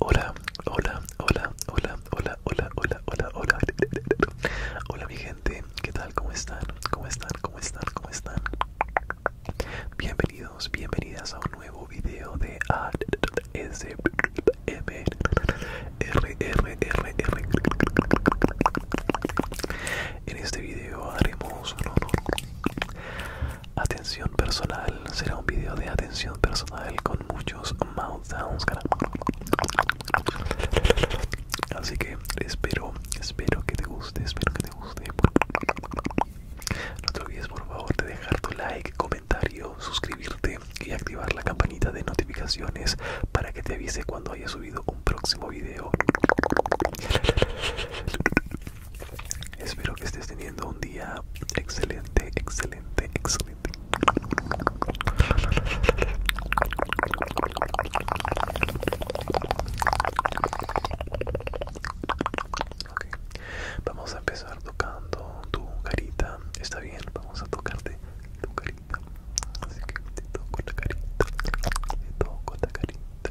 Hola, hola, hola, hola, hola, hola, hola, hola, hola. Hola mi gente, ¿qué tal? ¿Cómo están? ¿Cómo están? ¿Cómo están? ¿Cómo están? Bienvenidos, bienvenidas a un nuevo video de R. En este video haremos Atención personal, será un video de atención personal con muchos mouth sounds. Así que espero, espero que te guste, espero que te guste. No te olvides por favor de dejar tu like, comentario, suscribirte y activar la campanita de notificaciones para que te avise cuando haya subido un próximo video. Espero que estés teniendo un día excelente, excelente, excelente. Vamos a empezar tocando tu carita. Está bien, vamos a tocarte tu carita. Así que te toco la carita. Te toco la carita.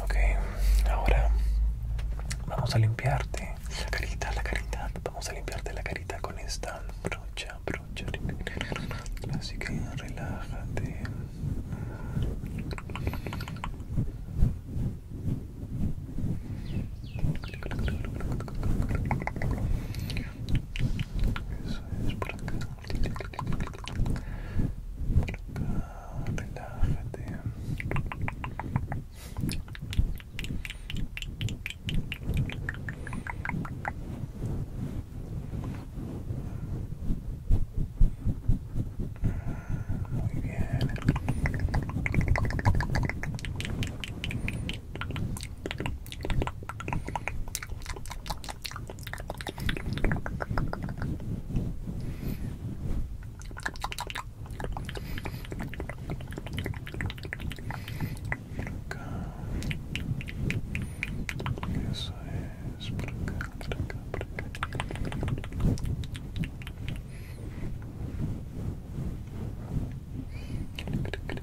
Okay, ahora vamos a limpiarte la carita, la carita. Vamos a limpiarte la carita con esta brocha, brocha. Así que relájate. Eso es por acá. Por acá, relájate. Muy bien. Eso es, por acá, por acá, por acá. Por acá.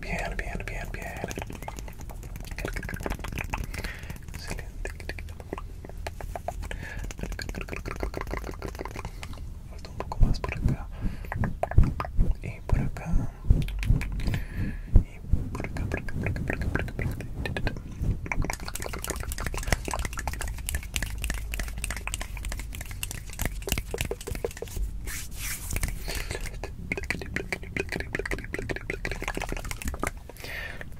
Bien, bien, bien, bien. Excelente. Falta un poco más por acá. Y por acá. Y por acá, por acá, por acá, por acá, por acá, por acá.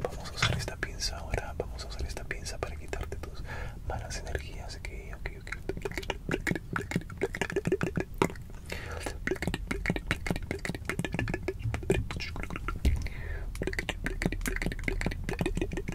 Vamos a usar esta pinza ahora. Vamos a usar esta pinza para quitarte tus malas energías. Ok, ok,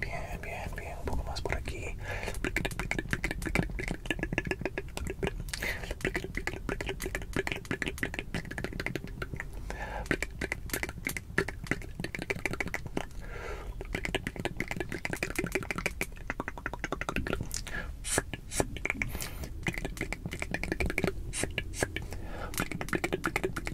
Bien, bien, bien. Un poco más por aquí.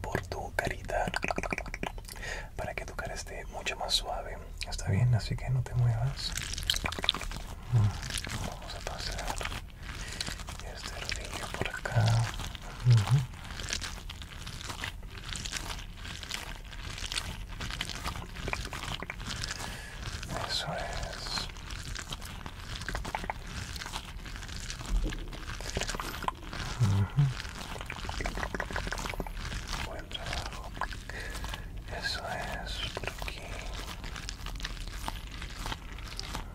por tu carita para que tu cara esté mucho más suave. Está bien, así que no te muevas. Mm, vamos a pasar y este rodillo por acá Eso es. Eso es por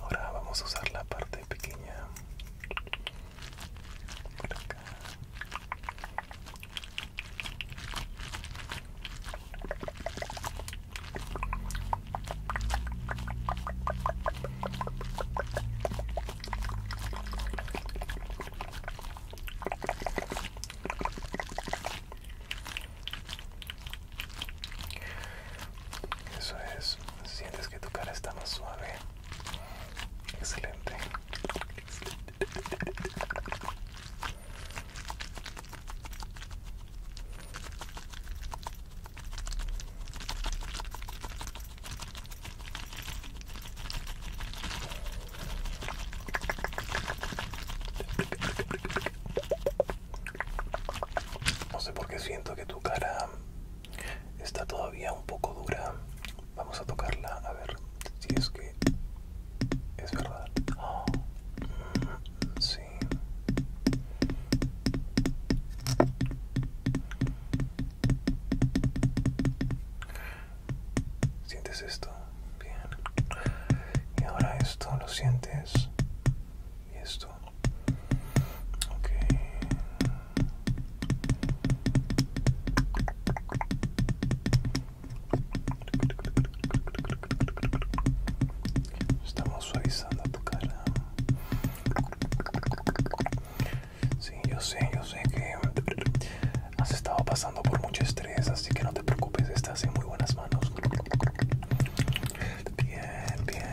Ahora vamos a usar la parte pequeña por eso es, sientes que tu cara está más suave. Excelente. No sé por qué siento que tu cara está todavía un poco dura. Vamos a tocarla a ver si es que es verdad. Mm, sí. Sientes esto, bien. Y ahora esto, lo sientes. Y esto. Estamos suavizando tu cara yo sé, yo sé que has estado pasando por mucho estrés, así que no te preocupes, estás en muy buenas manos. Bien, bien.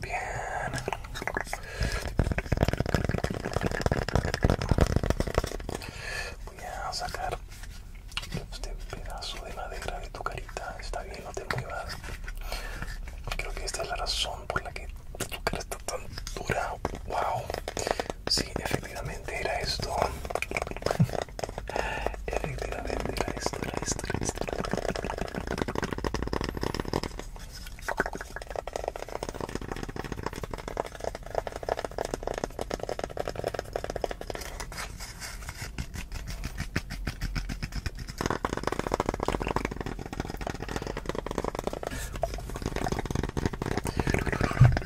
Bien. Voy a sacar este pedazo de madera de tu carita. Está bien, no te muevas. Creo que esta es la razón por la que tu cara está tan dura. Wow. Sí, efectivamente era esto. Efectivamente, era esto, esto,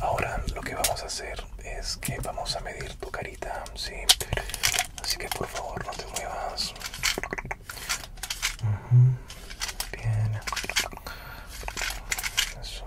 Ahora lo que vamos a hacer es que vamos a medir tu carita, sí. Así que por favor no te muevas. Bien. Eso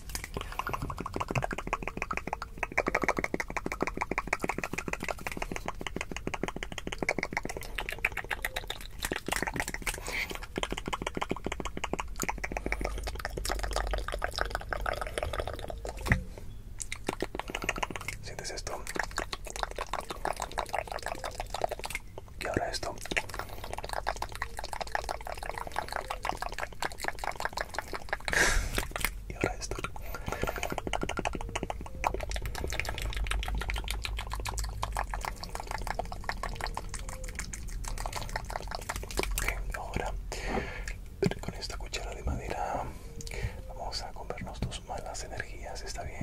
¿Sientes esto? Y ahora esto y ahora esto ahora con esta cuchara de madera vamos a comernos tus malas energías está bien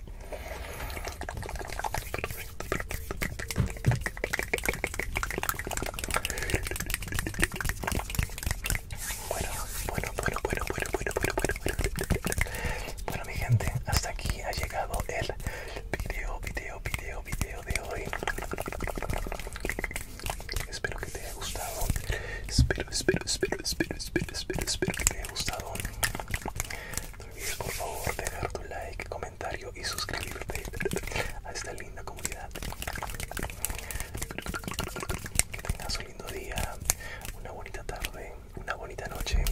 Bueno, bueno, bueno, bueno, bueno, bueno, bueno, bueno, bueno. Bueno, mi gente, hasta aquí ha llegado el video, video, video, video de hoy. Espero que te haya gustado. Espero, espero, espero, espero, espero, espero, espero que te haya gustado por favor dejar tu like, comentario y suscribirte a esta linda comunidad. Que tengas un lindo día, una bonita tarde, una bonita noche,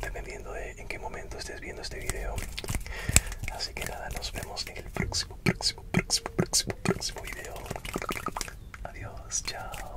dependiendo de en qué momento estés viendo este video. Así que nada, nos vemos en el próximo, próximo, próximo, próximo, próximo video. Adiós, chao.